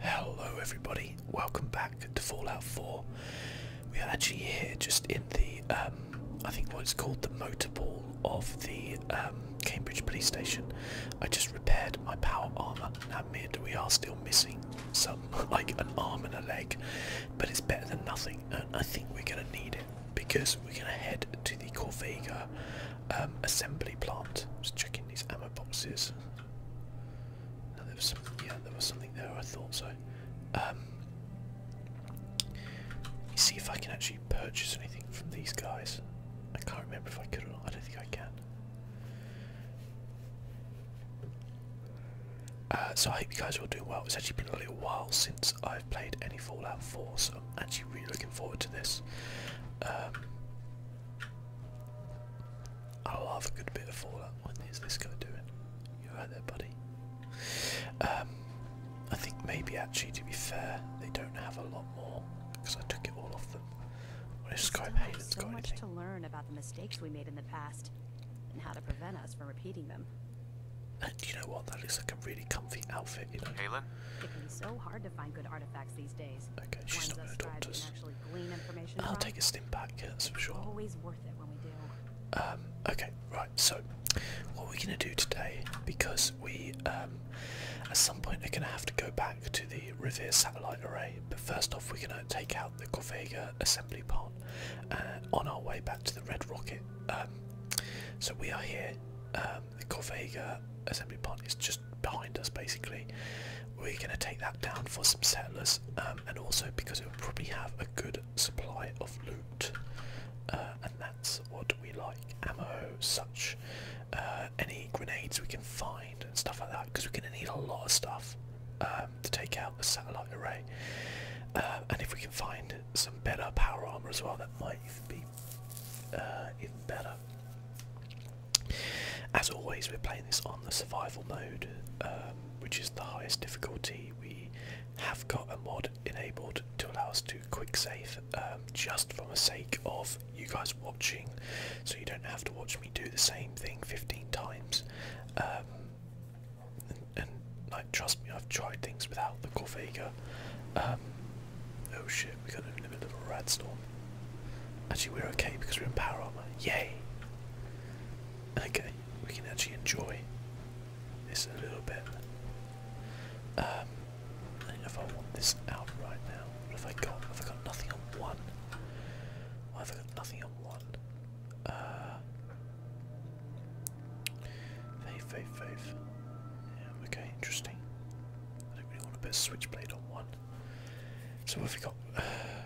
Hello everybody, welcome back to Fallout 4. We are actually here just in the, um, I think what's called the motor pool of the um, Cambridge police station. I just repaired my power armour. Now mid we are still missing some, like an arm and a leg, but it's better than nothing I think we're going to need it because we're going to head to the Corvega um, assembly plant. Just checking these ammo boxes there was yeah, there was something there. I thought so. Um, see if I can actually purchase anything from these guys. I can't remember if I could or not. I don't think I can. Uh, so I hope you guys are all doing well. It's actually been a little while since I've played any Fallout 4, so I'm actually really looking forward to this. Um, I will a good bit of fallout. When is this guy doing? You right there, buddy? Um, I think maybe actually, to be fair, they don't have a lot more because I took it all off them. What if Skype Hayden's so much to learn about the mistakes we made in the past and how to prevent us from repeating them. And you know what? That looks like a really comfy outfit, you know. Halen? It can be so hard find good artifacts these days. Okay, she's not going to talk us. I'll take a step back, yeah, for sure. Always worth it when we do. Um, okay, right, so what we're going to do today, because we, um, at some point we are going to have to go back to the Revere satellite array, but first off we're going to take out the Corvega assembly part uh, on our way back to the Red Rocket. Um, so we are here, um, the Corvega assembly part is just behind us basically. We're going to take that down for some settlers um, and also because it will probably have a good supply of loot uh, and that's what we like. Ammo, such, uh, any grenades we can find and stuff like that because we're going to need a lot of stuff um, to take out the satellite array. Uh, and if we can find some better power armor as well that might even be even better as always, we're playing this on the survival mode, um, which is the highest difficulty. We have got a mod enabled to allow us to quick save, um, just for the sake of you guys watching, so you don't have to watch me do the same thing 15 times. Um, and, like, trust me, I've tried things without the Corvega. Oh shit, we got in the middle of a rad storm. Actually, we're okay because we're in power armor. Yay! Okay, we can actually enjoy this a little bit. Um, I don't know if I want this out right now. What have I got? Have I got nothing on one? i have got nothing on one? Uh, fave, fave, fave. Yeah, okay, interesting. I don't really want to put switchblade on one. So if we got uh,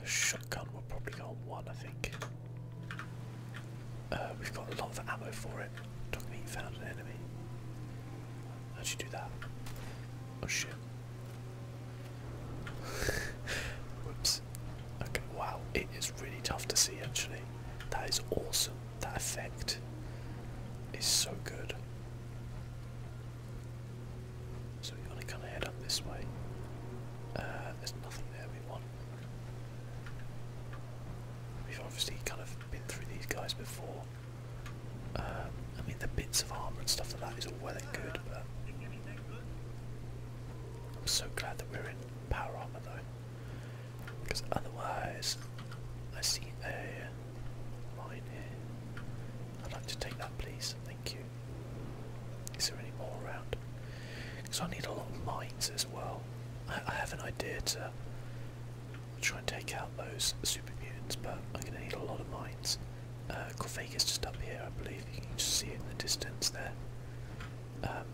shotgun, we'll probably go on one, I think. Uh, we've got a lot of ammo for it. Dog meat found an enemy. How'd you do that? Oh shit. Whoops. Okay, wow, it is really tough to see actually. That is awesome. That effect is so good. So we want to kind of head up this way. Uh, there's nothing there we want. We've obviously kind of been through these guys before. Um, I mean, the bits of armour and stuff like that is all well and good, but I'm so glad that we're in power armour though, because otherwise I see a mine here. I'd like to take that, please. Thank you. Is there any more around? Because I need a lot of mines as well. I, have an idea to try and take out those super mutants, but I'm going to need a lot of mines. Uh, Corvagus just up here, I believe. You can see it in the distance there. Um,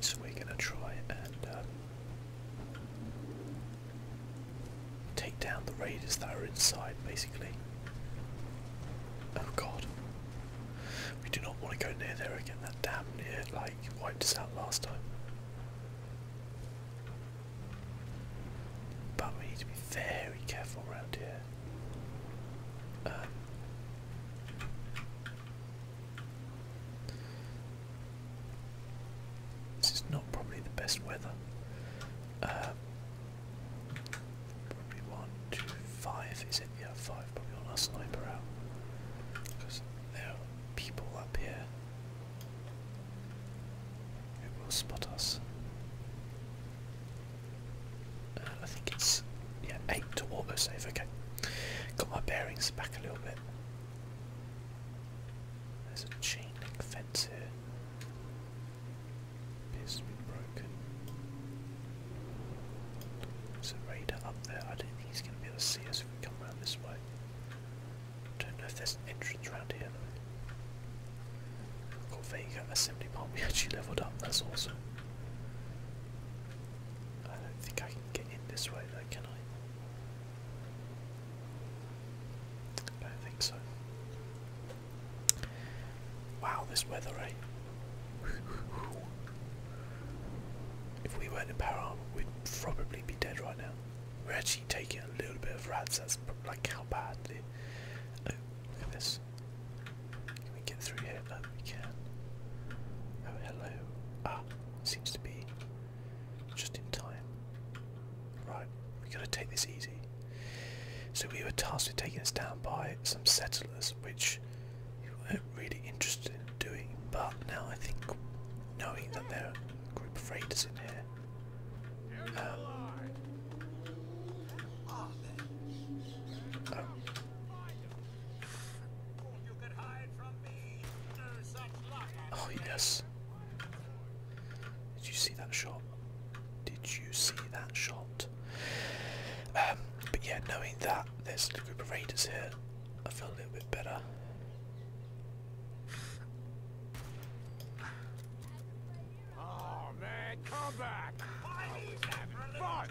so we're going to try and um, Take down the raiders that are inside, basically. Oh god. We do not want to go near there again. That damn near, like, wiped us out last time. But we need to be very careful around here. Um, this is not probably the best weather. Uh, probably one, two, five, is it? Yeah, five. Probably on our sniper out. Because there are people up here It will spot us. Uh, I think it's yeah eight to autosave. Okay, got my bearings back a little bit. There's a chain link fence here. Appears to be broken. There's a radar up there. I don't think he's going to be able to see us if we come around this way. Don't know if there's an entrance around here though. Vega Assembly Plant. We actually leveled up. That's awesome. I don't think I can get in this way though, can I? I don't think so. Wow, this weather, eh? if we weren't a power armor, we'd probably be dead right now. We're actually taking a little bit of rats, that's like how bad Oh, look at this. Can we get through here? No, we can. Oh, hello. Ah, seems to be just in time. Right, we gotta take this easy. So we were tasked with taking us down by some settlers, which we weren't really interested in doing, but now I think knowing that there are a group of raiders in here. Um, oh yes, did you see that shot? Did you see that shot? Um, but yeah, knowing that there's a group of raiders here, I feel a little bit better. Oh man, come back! I was having fun!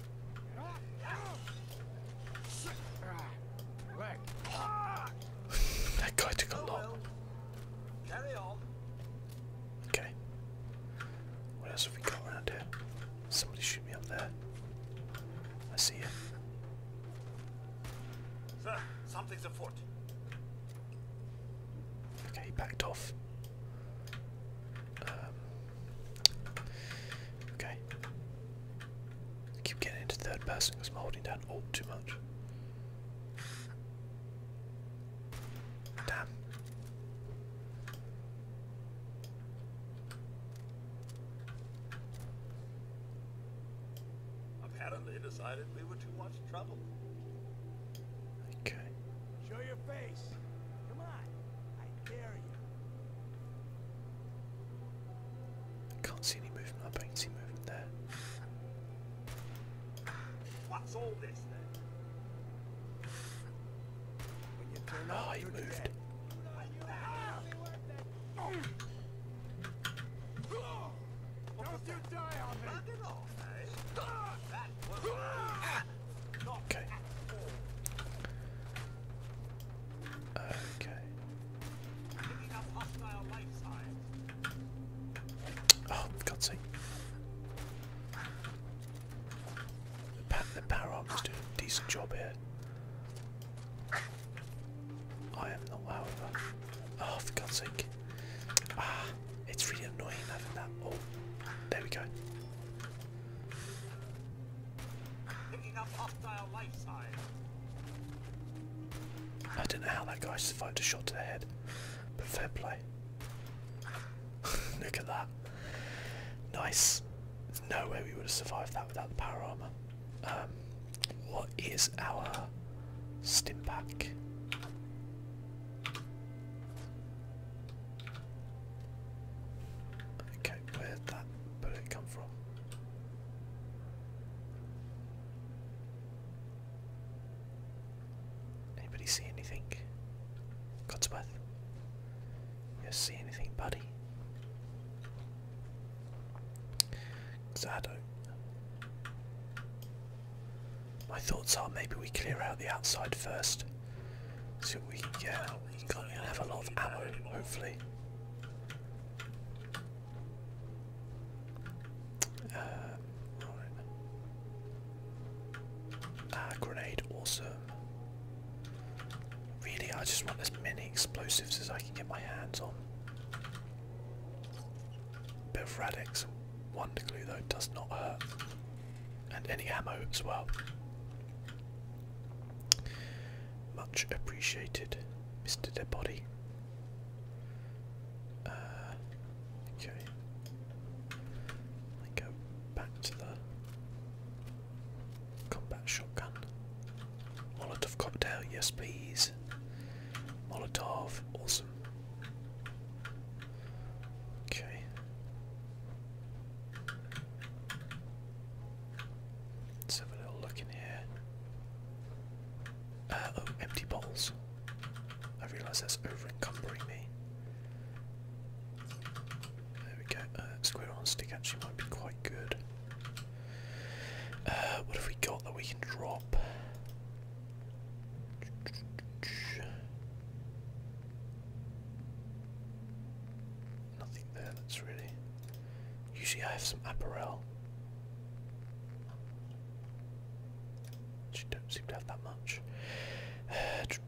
that guy took a lot. Okay. What else have we got around here? Somebody shoot me up there. I see you. Sir, something's afoot. Okay, backed off. Um, Okay. keep getting into third person I'm holding down alt too much. Damn. Apparently decided we were too much trouble. Okay. Show your face. Come on. I dare you. I Can't see any movement. I don't see movement there. What's all this then? When you turn oh, up, ah, he moved. Don't you die on me! Okay. Okay. Oh, for God's sake. The, power arm doing decent job here. I am not, however. Oh, for God's sake. Ah. It's really annoying having that. Oh, there we go. Picking up hostile life signs. I don't know how that guy survived a shot to the head, but fair play. Look at that. Nice. There's no way we would have survived that without the power armor. Um, what is our stim pack? Okay, where'd that bullet come from? Anybody see anything? Godsworth? see anything, buddy? Cause I don't. My thoughts are maybe we clear out the outside first. So we yeah, we can have a lot of ammo, hopefully. Uh, right. Ah, grenade, awesome. Really, I just want as many explosives as I can get my hands on. Bit of radix, wonder glue though, does not hurt and any ammo as well. Much appreciated, Mr. Debody. Uh, okay. I go back to the combat shotgun. Molotov cocktail, yes please. Molotov, awesome. Okay. Let's have a little look in here. Uh, oh, empty bowls. I realise that's over encumbering me. There we go. Uh, square on stick actually might be quite good. Uh, what have we got that we can drop? Nothing there that's really. Usually I have some apparel. She don't seem to have that much. I can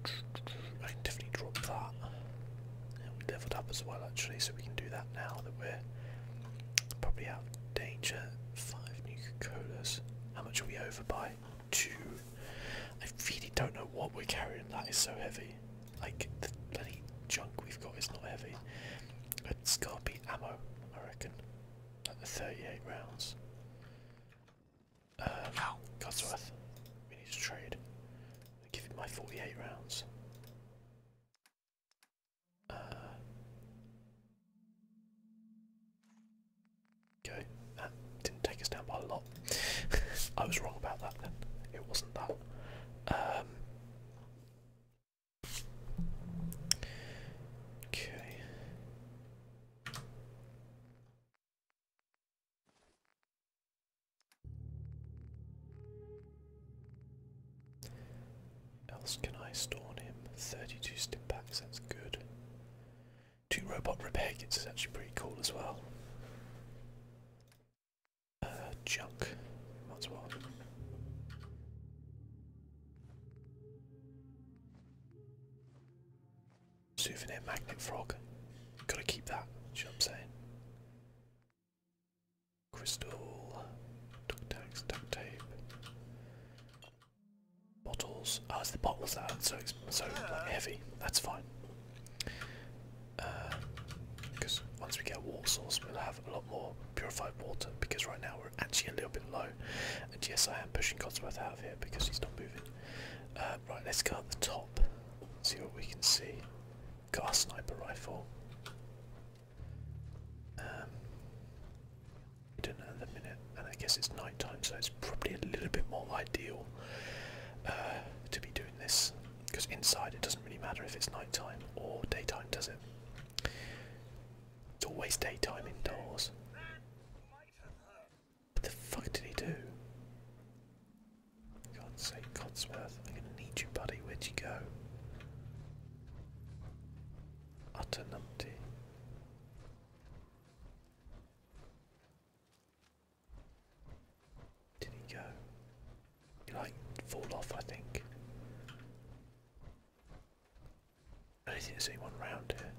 definitely drop that. And we leveled up as well actually, so we can do that now that we're probably out of danger. Five new Colas. How much are we over by? two. I really don't know what we're carrying. That is so heavy. Like the bloody junk we've got is not heavy. It's got to be ammo, I reckon. Like the 38 rounds. Um, Ow. we need to trade. i give you my 48 rounds. Uh, Okay, that didn't take us down by a lot. I was wrong about that then. It wasn't that. Um, okay. Else can I storm him? Thirty-two step back. That's good two robot repair kits is actually pretty cool as well. Uh, junk, might as Souvenir magnet frog, gotta keep that. you know what I'm saying? Crystal, duct tags, duct tape. Bottles. Oh, it's the bottles that are so, so heavy. That's fine. Because uh, once we get a water source, we'll have a lot more purified water. Because right now we're actually a little bit low. And yes, I am pushing Codsworth out of here because he's not moving. Uh, right, let's go up the top. See what we can see. Got our sniper rifle. Um, at the minute, and I guess it's night time, so it's probably a little bit more ideal uh, to be doing this because inside it doesn't really matter if it's night time or daytime, does it? It's always daytime indoors. What the fuck did he do? God's sake, Codsworth, I'm gonna need you, buddy. Where'd you go? Utter numpty. Did he go? He like fall off, I think. I don't think there's anyone round here.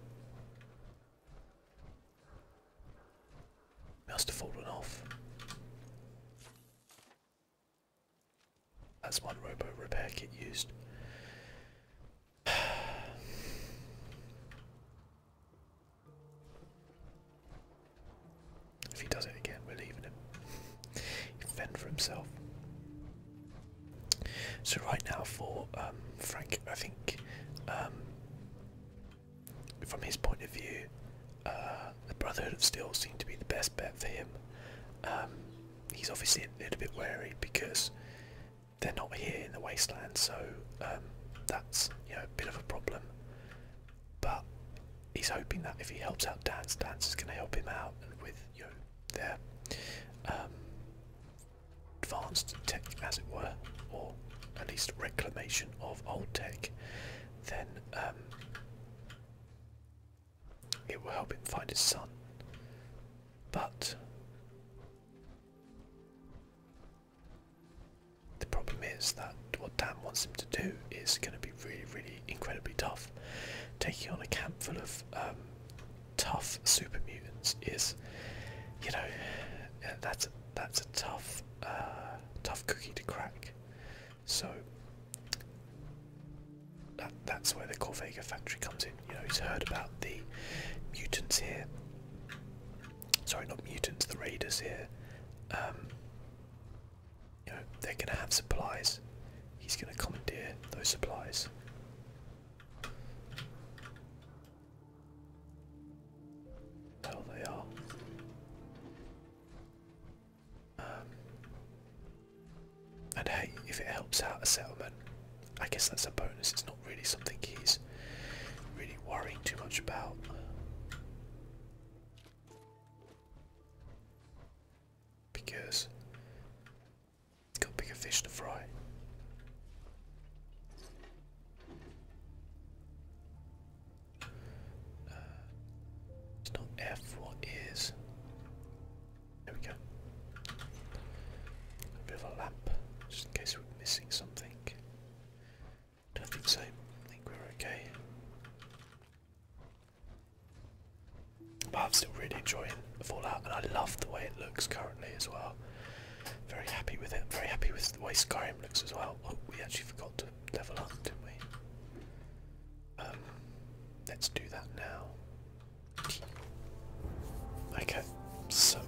must have fallen off. That's one robo repair kit used. If he does it again, we're leaving him. he fend for himself. So right now for um, Frank, I think um, from his point of view, uh, the Brotherhood of Steel seemed to be the best bet for him. Um, he's obviously a little bit wary because they're not here in the wasteland, so um, that's you know a bit of a problem. But he's hoping that if he helps out Dance, Dance is going to help him out and with you know their um, advanced tech, as it were, or at least reclamation of old tech, then um, it will help him find his son. But the problem is that what Dan wants him to do is going to be really, really incredibly tough. Taking on a camp full of um, tough super mutants is, you know, that's that's a tough, uh, tough cookie to crack. So that's where the Corvega factory comes in you know he's heard about the mutants here. Sorry, not mutants, the raiders here. Um, you know they're going to have supplies. He's going to commandeer those supplies. Hell, they are. Um, and hey, if it helps out a settlement, I guess that's a bonus. It's not really something he's really worrying too much about. Because he's got bigger fish to fry. Uh, it's not F, what is? There we go. A bit of a lamp, just in case missing something. Don't think so. I think we're okay. But I'm still really enjoying Fallout, and I love the way it looks currently as well. Very happy with it. very happy with the way Skyrim looks as well. Oh, we actually forgot to level up, didn't we? Um, let's do that now. Okay, so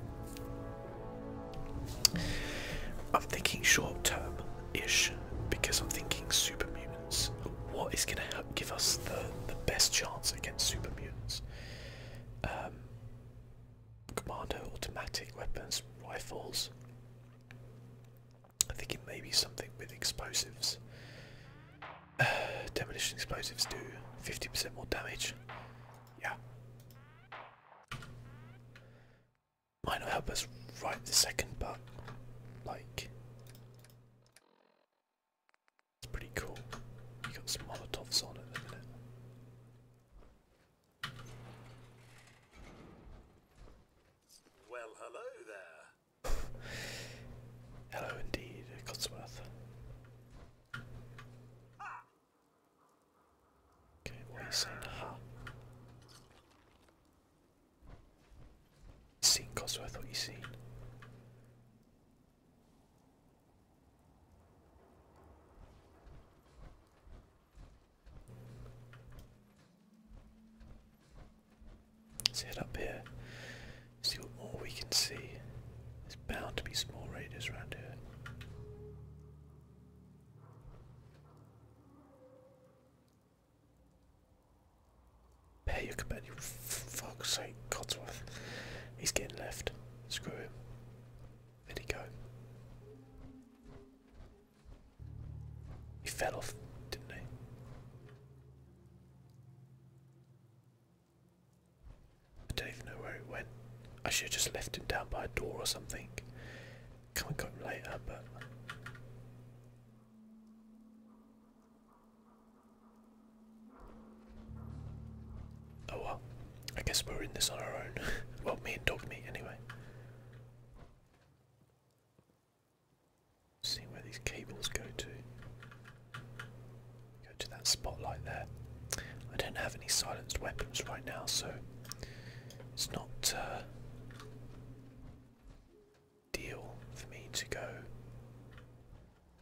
I'm thinking short term ish because I'm thinking super mutants. What is going to help give us the, the best chance against super mutants? Um, automatic weapons, rifles. I am thinking maybe something with explosives. demolition explosives do 50% more damage. Yeah. Might not help us right this second, but like it's pretty cool. You got some Molotovs on at the minute. Well, hello there. hello indeed, Cotsworth. Okay, what are you saying? huh? Seen Cosworth, what you seen? Let's head up here, see what more we can see bound to be small raiders around here. Pay your companion. Fuck's sake, Codsworth. He's getting left. Screw him. There he go. He fell off, didn't he? I don't even know where he went. I should have just left him down by a door or something. Come and got him later, but. Oh well, I guess we're in this on our own. well, me and dog meat anyway. See where these cables go to. Go to that spotlight there. I don't have any silenced weapons right now, so it's not a uh, deal for me to go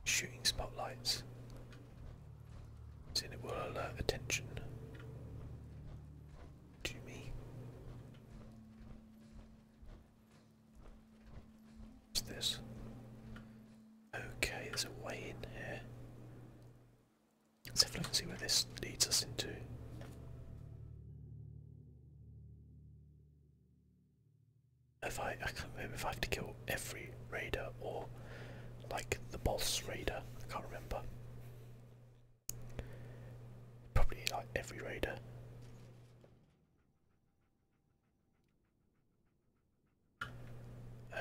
shooting spotlights. Since it will alert attention to me. What's this? Okay, there's a way in here. Let's have a look and see where this leads us into. If I, I can't remember if I have to kill every raider or like the boss raider, I can't remember. Probably like every raider.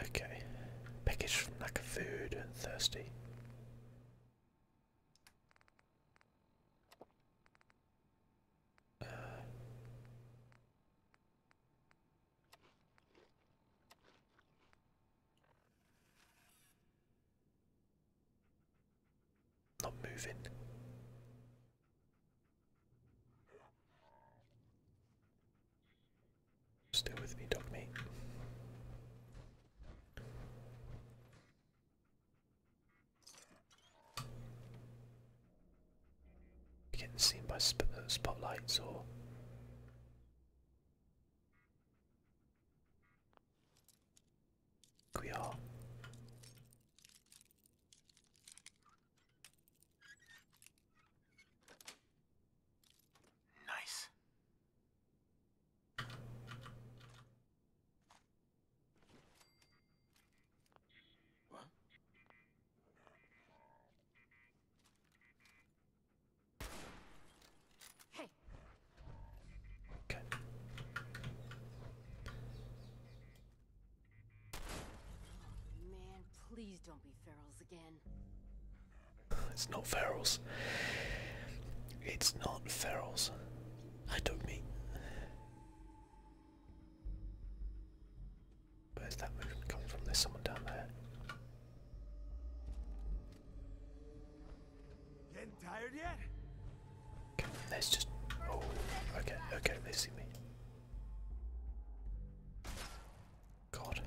Okay. Package from like food, thirsty. Uh, not moving. Stay with me, dog mate. You're getting seen by sp uh, spotlights or. We are. Nice. What? Hey. Okay. Man, please don't be Ferrells again. It's not Ferrells. It's not Ferrells. I don't mean. Where's that movement coming from? There's someone down there. Getting tired yet? Okay, just. Oh, okay, okay, they see me. God.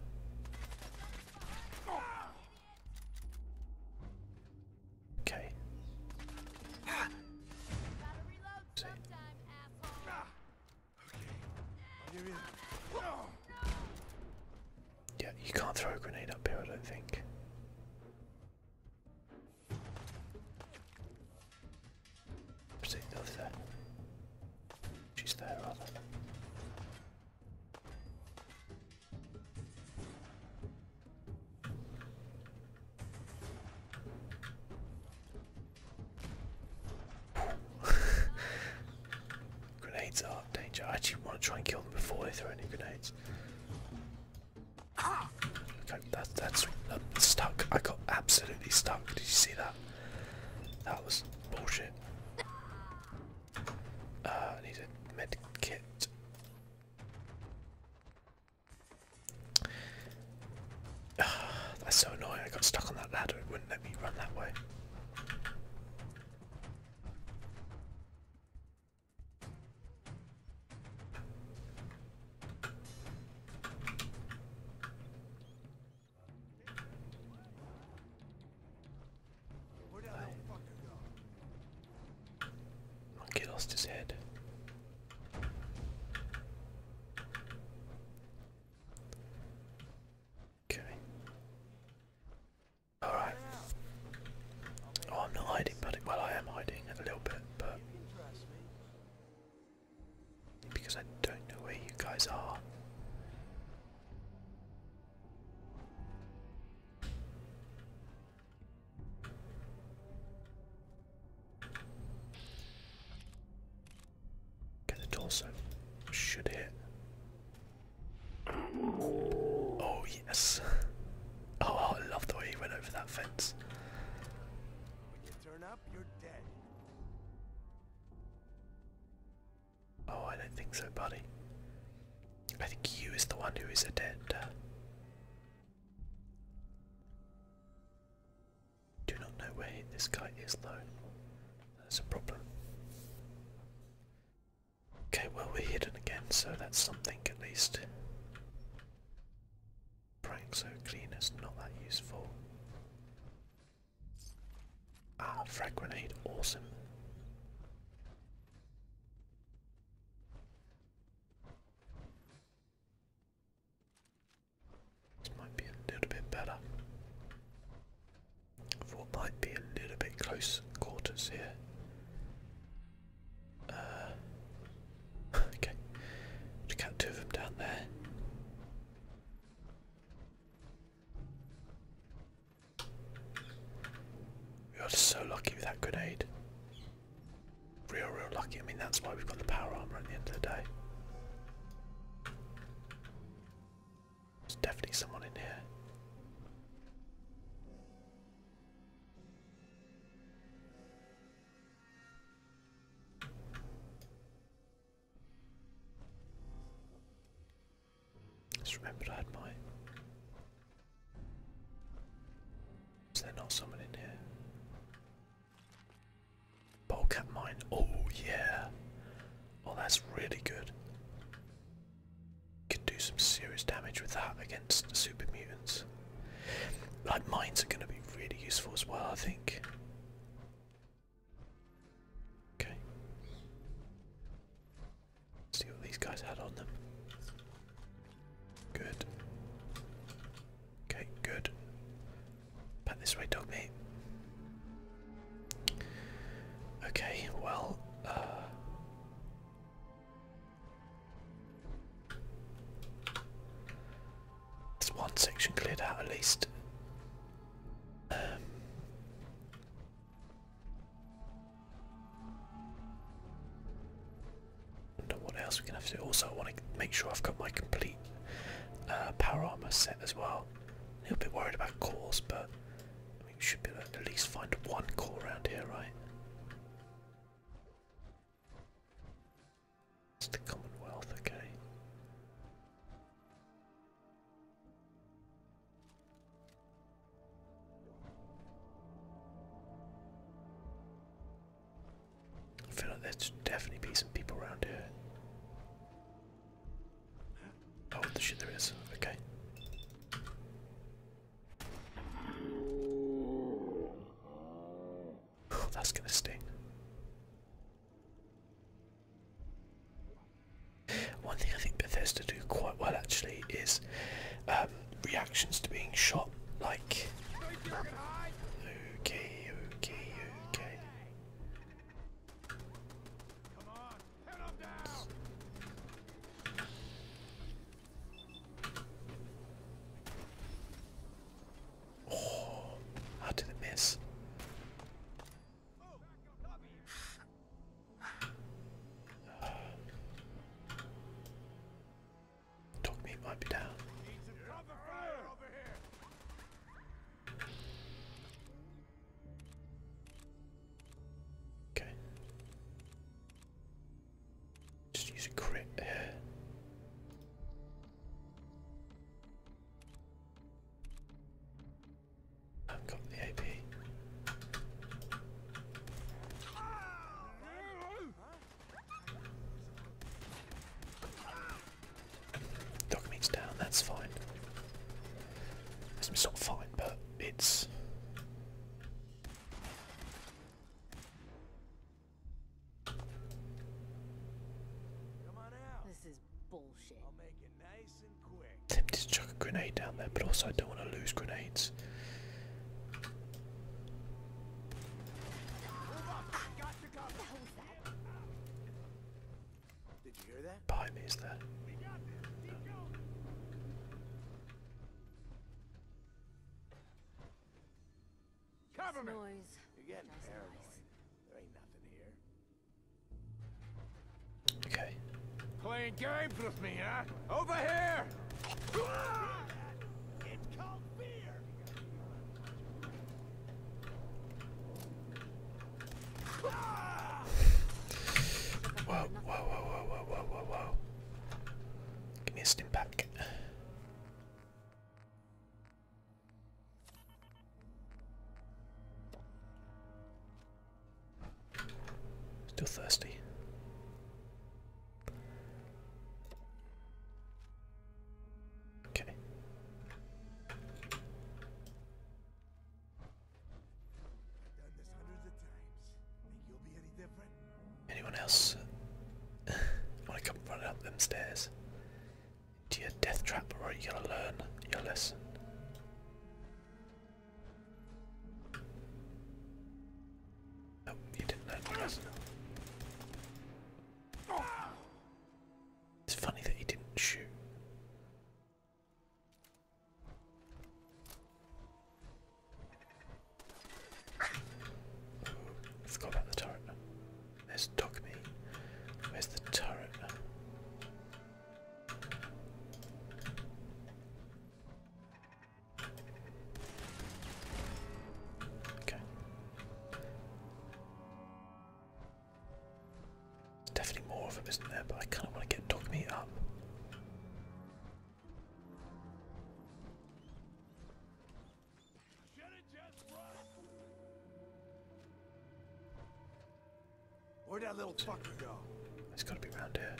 Okay. Yeah, you can't throw a grenade up here, I don't think. Proceed over there. She's there, rather. grenades are danger. I actually want to try and kill them before they throw any grenades. Ah! Okay, that's stuck. I got absolutely stuck. Did you see that? That was bullshit. Uh, need a med kit. That's so annoying. I got stuck on that ladder. It wouldn't let me run that way. Monkey lost his head. Okay. Alright. Oh, I'm not hiding, but well, I am hiding a little bit, but because I don't know where you guys are. Okay, the torso should hit. Oh, yes. Oh, I love the way he went over that fence. Oh, I don't think so, buddy. I think you is the one who is adept. Uh, do not know where this guy is though. That's a problem. Okay, well we're hidden again, so that's something at least. Prank so clean is not that useful. Ah, frag grenade, awesome. This might be a little bit better. For it might be a little bit close quarters here. Uh, okay, just got two of them down there. We are so lucky with that grenade. Real, real lucky. I mean, that's why we've got the power armor at the end of the day. There's definitely someone in here. Just remembered I had my. Is there not someone in here? Polecat mine. Oh yeah. Oh, that's really good. Could do some serious damage with that against super mutants. Like mines are going to be really useful as well, I think. Okay. see what these guys had on them. Good. Okay, good. Back this way, dog Okay, well, uh, that's one section cleared out at least. Um, wonder what else we can have to do. Also, I want to make sure I've got my complete uh, power armor set as well. A little bit worried about cores, but we should be able to at least find one core around here, right? It's the Commonwealth, okay. I feel like there's definitely be some people around here. Oh, the shit there is. Okay. That's gonna sting. One thing I think Bethesda do quite well actually is um, reactions to being shot. Like, Oh, how did it miss? dog meat might be down. Okay. Just use a crit I've got the AP. Dog down, that's fine. It's not fine, but it's this is bullshit. I'll make it nice and quick. i Tempted to chuck a grenade down there, but also I don't want to lose grenades. Behind me is that. Cover me! Noise. You're getting Just There ain't nothing here. Okay. Playing games with me, huh? Over here! whoa, whoa, whoa, whoa, whoa, whoa, whoa. Give me a stim pack. Still thirsty. Okay. Anyone else uh, want to come running up them stairs? to your death trap, or you gotta learn your lesson. Nope, you didn't learn your lesson. It's funny that he didn't shoot. Ooh, I forgot about the turret. There's Dogme. Where's the turret? Okay. There's definitely more of them, isn't there? But I kind of want to get Dogme up. Where'd that little fucker go? It's gotta be around here.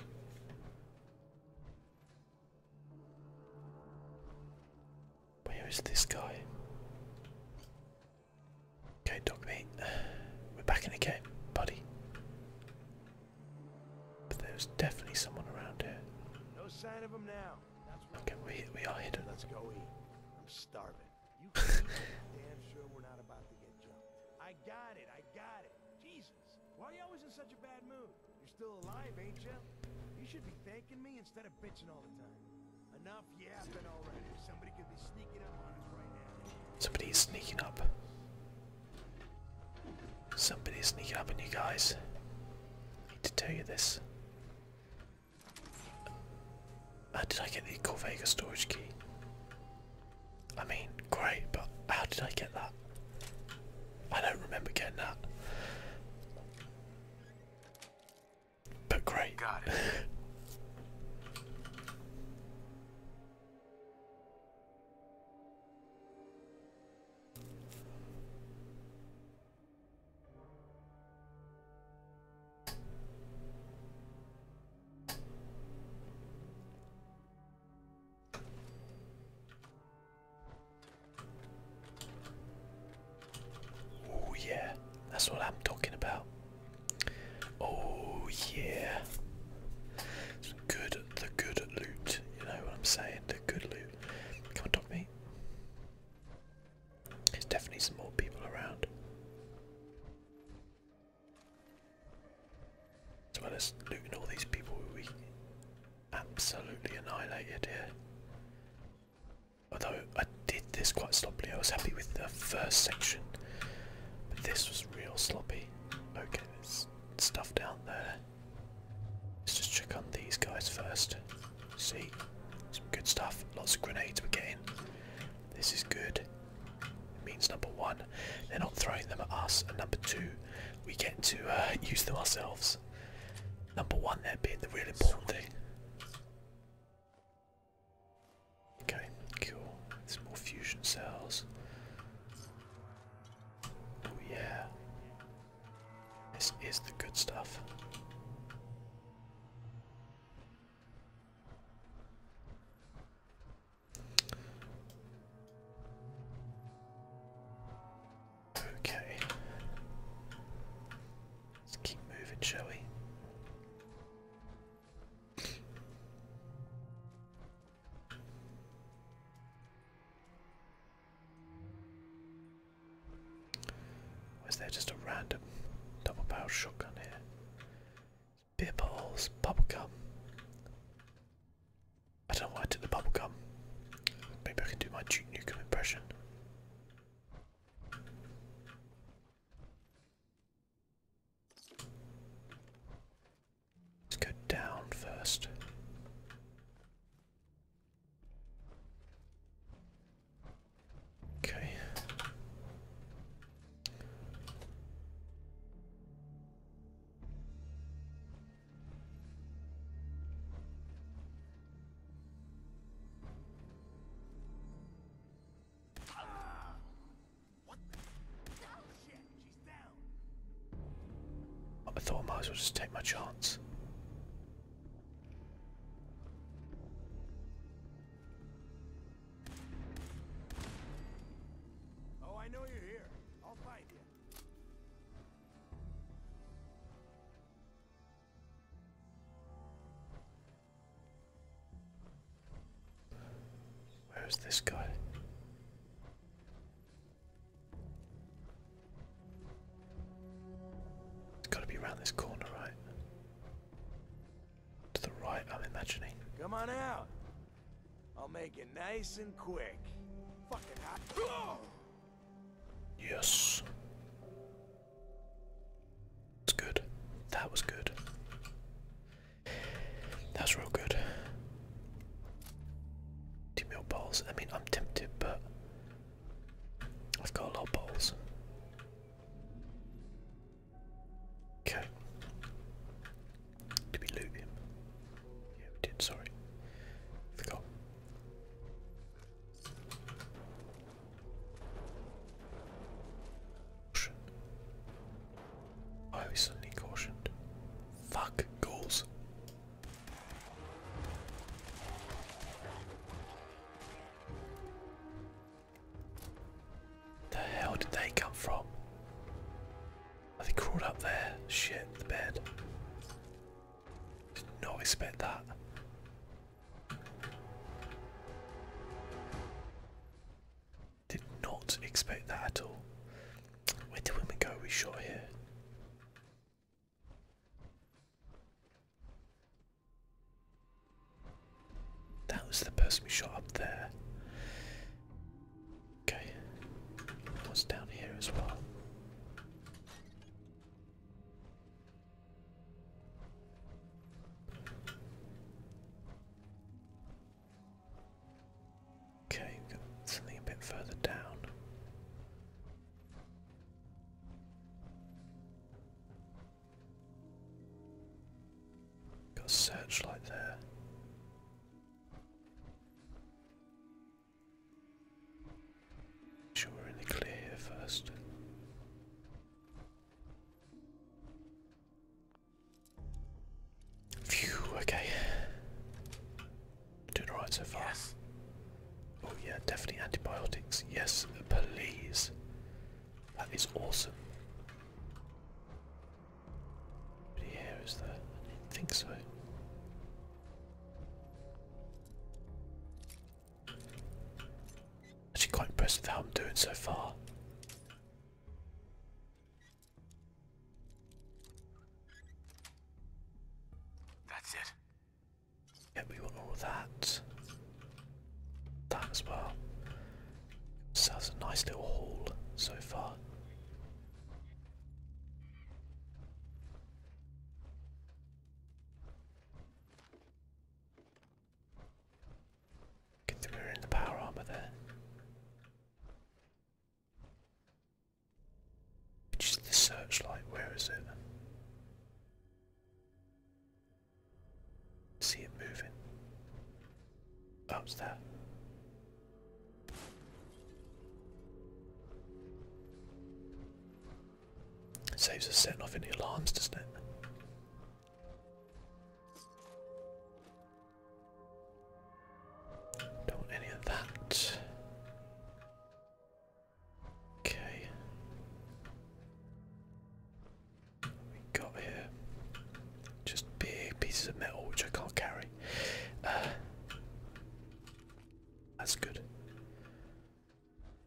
Where is this guy? Okay, dog meat. We're back in the game, buddy. But there's definitely someone around here. No sign of him now. Okay, we we are hidden. Let's go eat. I'm starving. You damn sure we're not about to get jumped. I got it. I got it. Jesus, why are you always in such a bad mood? You're still alive, ain't you? You should be thanking me instead of bitching all the time. Enough yapping already. sneaking up on us right now. Somebody's sneaking up. Somebody's sneaking up on you guys. I need to tell you this. Uh, did I get the Corvega storage key? I mean, great, but how did I get that? I don't remember getting that. But great. Got it. Oh, yeah, that's what I'm talking about. Oh, yeah, Some good the good loot, you know what I'm saying? The good loot. Come on, talk me. There's definitely some more people around. As well as looting all these people we absolutely annihilated here. Although I did this quite sloppily, I was happy with the first section, but this was real sloppy. Okay, let's stuff down there. Let's just check on these guys first. See, some good stuff. Lots of grenades we're getting. This is good. It means number one, they're not throwing them at us, and number two, we get to uh, use them ourselves. Number one, there being the really important thing. Okay, cool. There's more fusion cells. Oh yeah. This is the good stuff. Okay. Let's keep moving, shall we? Was that just a random double barrel shotgun here? Beer bottles, gum. I don't know why I took the gum. Maybe I can do my Duke Newcomb impression. Let's go down first. Okay. I thought I might as well just take my chance. Oh, I know you're here. I'll find you. Where's this guy? It's got to be around this corner, right? To the right, I'm imagining. Come on out. I'll make it nice and quick. Fucking hot. Yes. It's good. That was good. That's real good. Two meal bowls. I mean, I'm tempted, but I've got a lot of balls. Okay. Did we loot him? Yeah, we did, sorry. Forgot. Caution. I was suddenly cautioned. Fuck, ghouls. The hell did they come from? Oh, they crawled up there. Shit, the bed. Did not expect that. Did not expect that at all. Where did we go? We shot here. That was the person we shot up there. Okay. What's down here as well? Okay, something a bit further down. Got a searchlight there. Make sure we're in the clear here first. Phew, okay. Do the right so far. Oh yeah, definitely antibiotics. Yes, please. That is awesome. But here is that. I didn't think so. Actually quite impressed with how I'm doing so far. That's it. Yeah, we want all of that. That as well. So that's a nice little haul so far. Good that we in the power armor there. Which is the searchlight? Where is it? See it moving. Oh, there. saves us setting off any alarms, doesn't it? Don't any of that. Okay. we got here just big pieces of metal which I can't carry. Uh, that's good.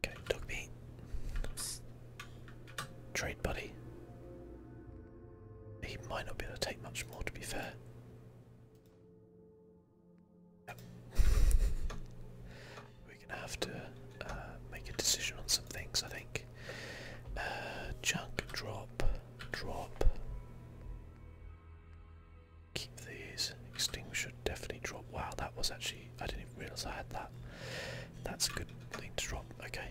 Okay, dog meat. Trade buddy. He might not be able to take much more to be fair. We're gonna have to uh, make a decision on some things, I think. Uh, junk drop, drop. Keep these. Extinguisher, definitely drop. Wow, that was actually. I didn't even realise I had that. That's a good thing to drop. Okay.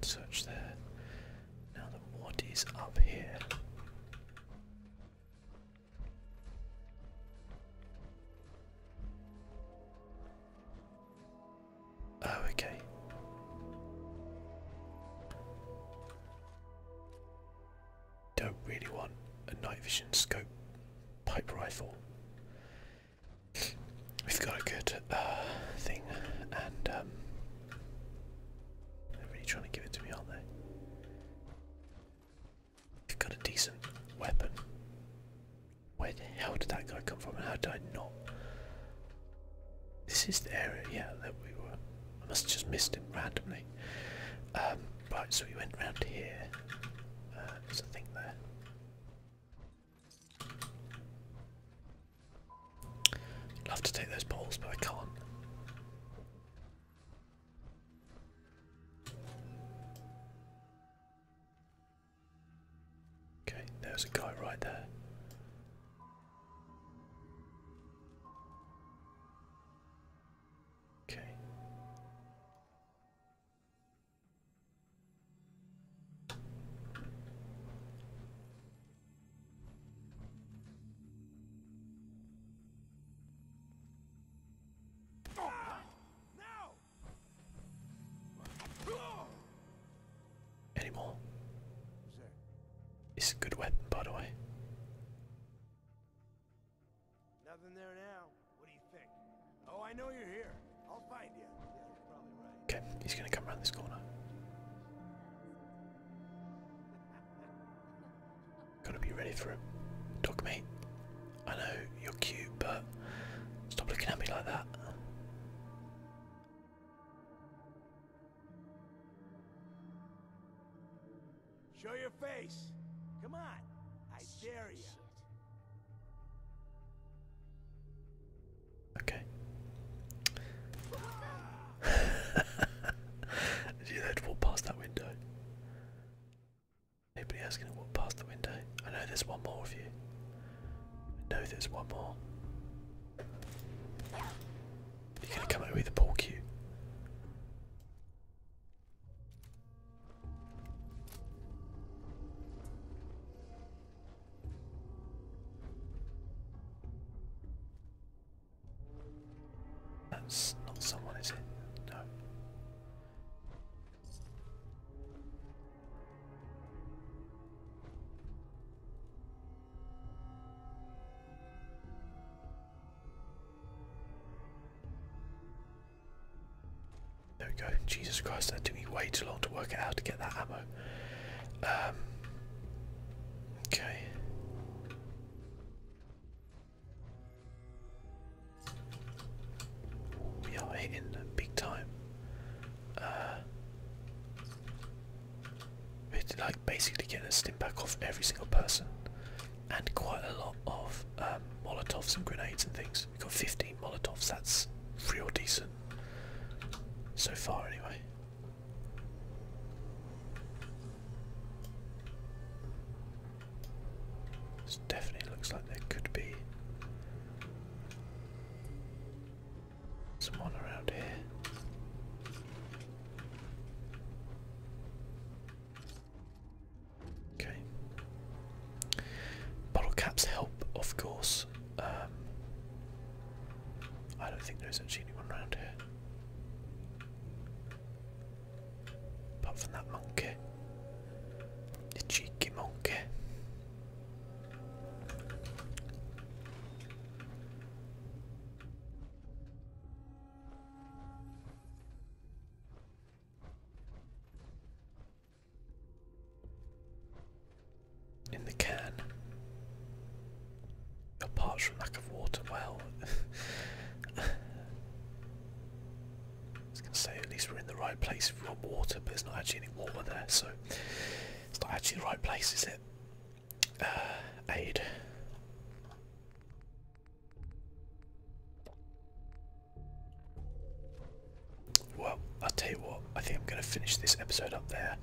Search there. Now then, what is up here? Oh, okay. Don't really want a night vision scope pipe rifle. We've got a good uh, thing, and um, they're really trying to give it to me, aren't they? You've got a decent weapon. Where the hell did that guy come from and how did I not? This is the area, yeah, that we were. I must have just missed him randomly. Um, right, so we went round here. Uh, there's a thing there. Love to take those balls, but I can't. Okay, there's a guy right there. Okay. Anymore. It's a good weapon, by the way. Nothing there now. What do you think? Oh, I know you're here. I'll find you. Okay, he's going to come around this corner. Gotta be ready for him. Dog I know you're cute, but stop looking at me like that. Show your face. Come on. I dare you. Okay. Did you they walk past that window? Anybody gonna walk past the window? I know there's one more of you. I know there's one more. You're gonna come out with a ball cue. That's not someone, is it? No. There we go. Jesus Christ, that took me way too long to work it out to get that ammo. Um, okay. We are hitting big time. Uh, we're like basically getting a stim back off every single person, and quite a lot of um, Molotovs and grenades and things. We've got 15 Molotovs. That's real decent so far, anyway. This definitely looks like there could be someone around here. Okay. Bottle caps help, of course. Um, I don't think there's actually anyone around here. Apart from that monkey. The cheeky monkey in the can. Apart from lack of water, well, I was going to say at least we're in the right place if we want water, but there's not actually any water there, so it's not actually the right place, is it? Uh, Well, I'll tell you what, I think I'm going to finish this episode up there.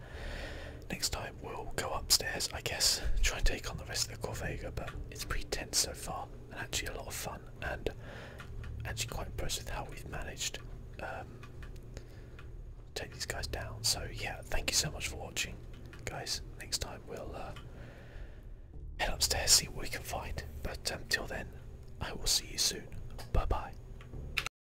Next time we'll go upstairs, I guess, try and take on the rest of the Corvega, but it's pretty tense so far and actually a lot of fun and actually quite impressed with how we've managed um, take these guys down. So yeah, thank you so much for watching, guys. Next time we'll uh, head upstairs, see what we can find. But until um, then, I will see you soon. Bye bye.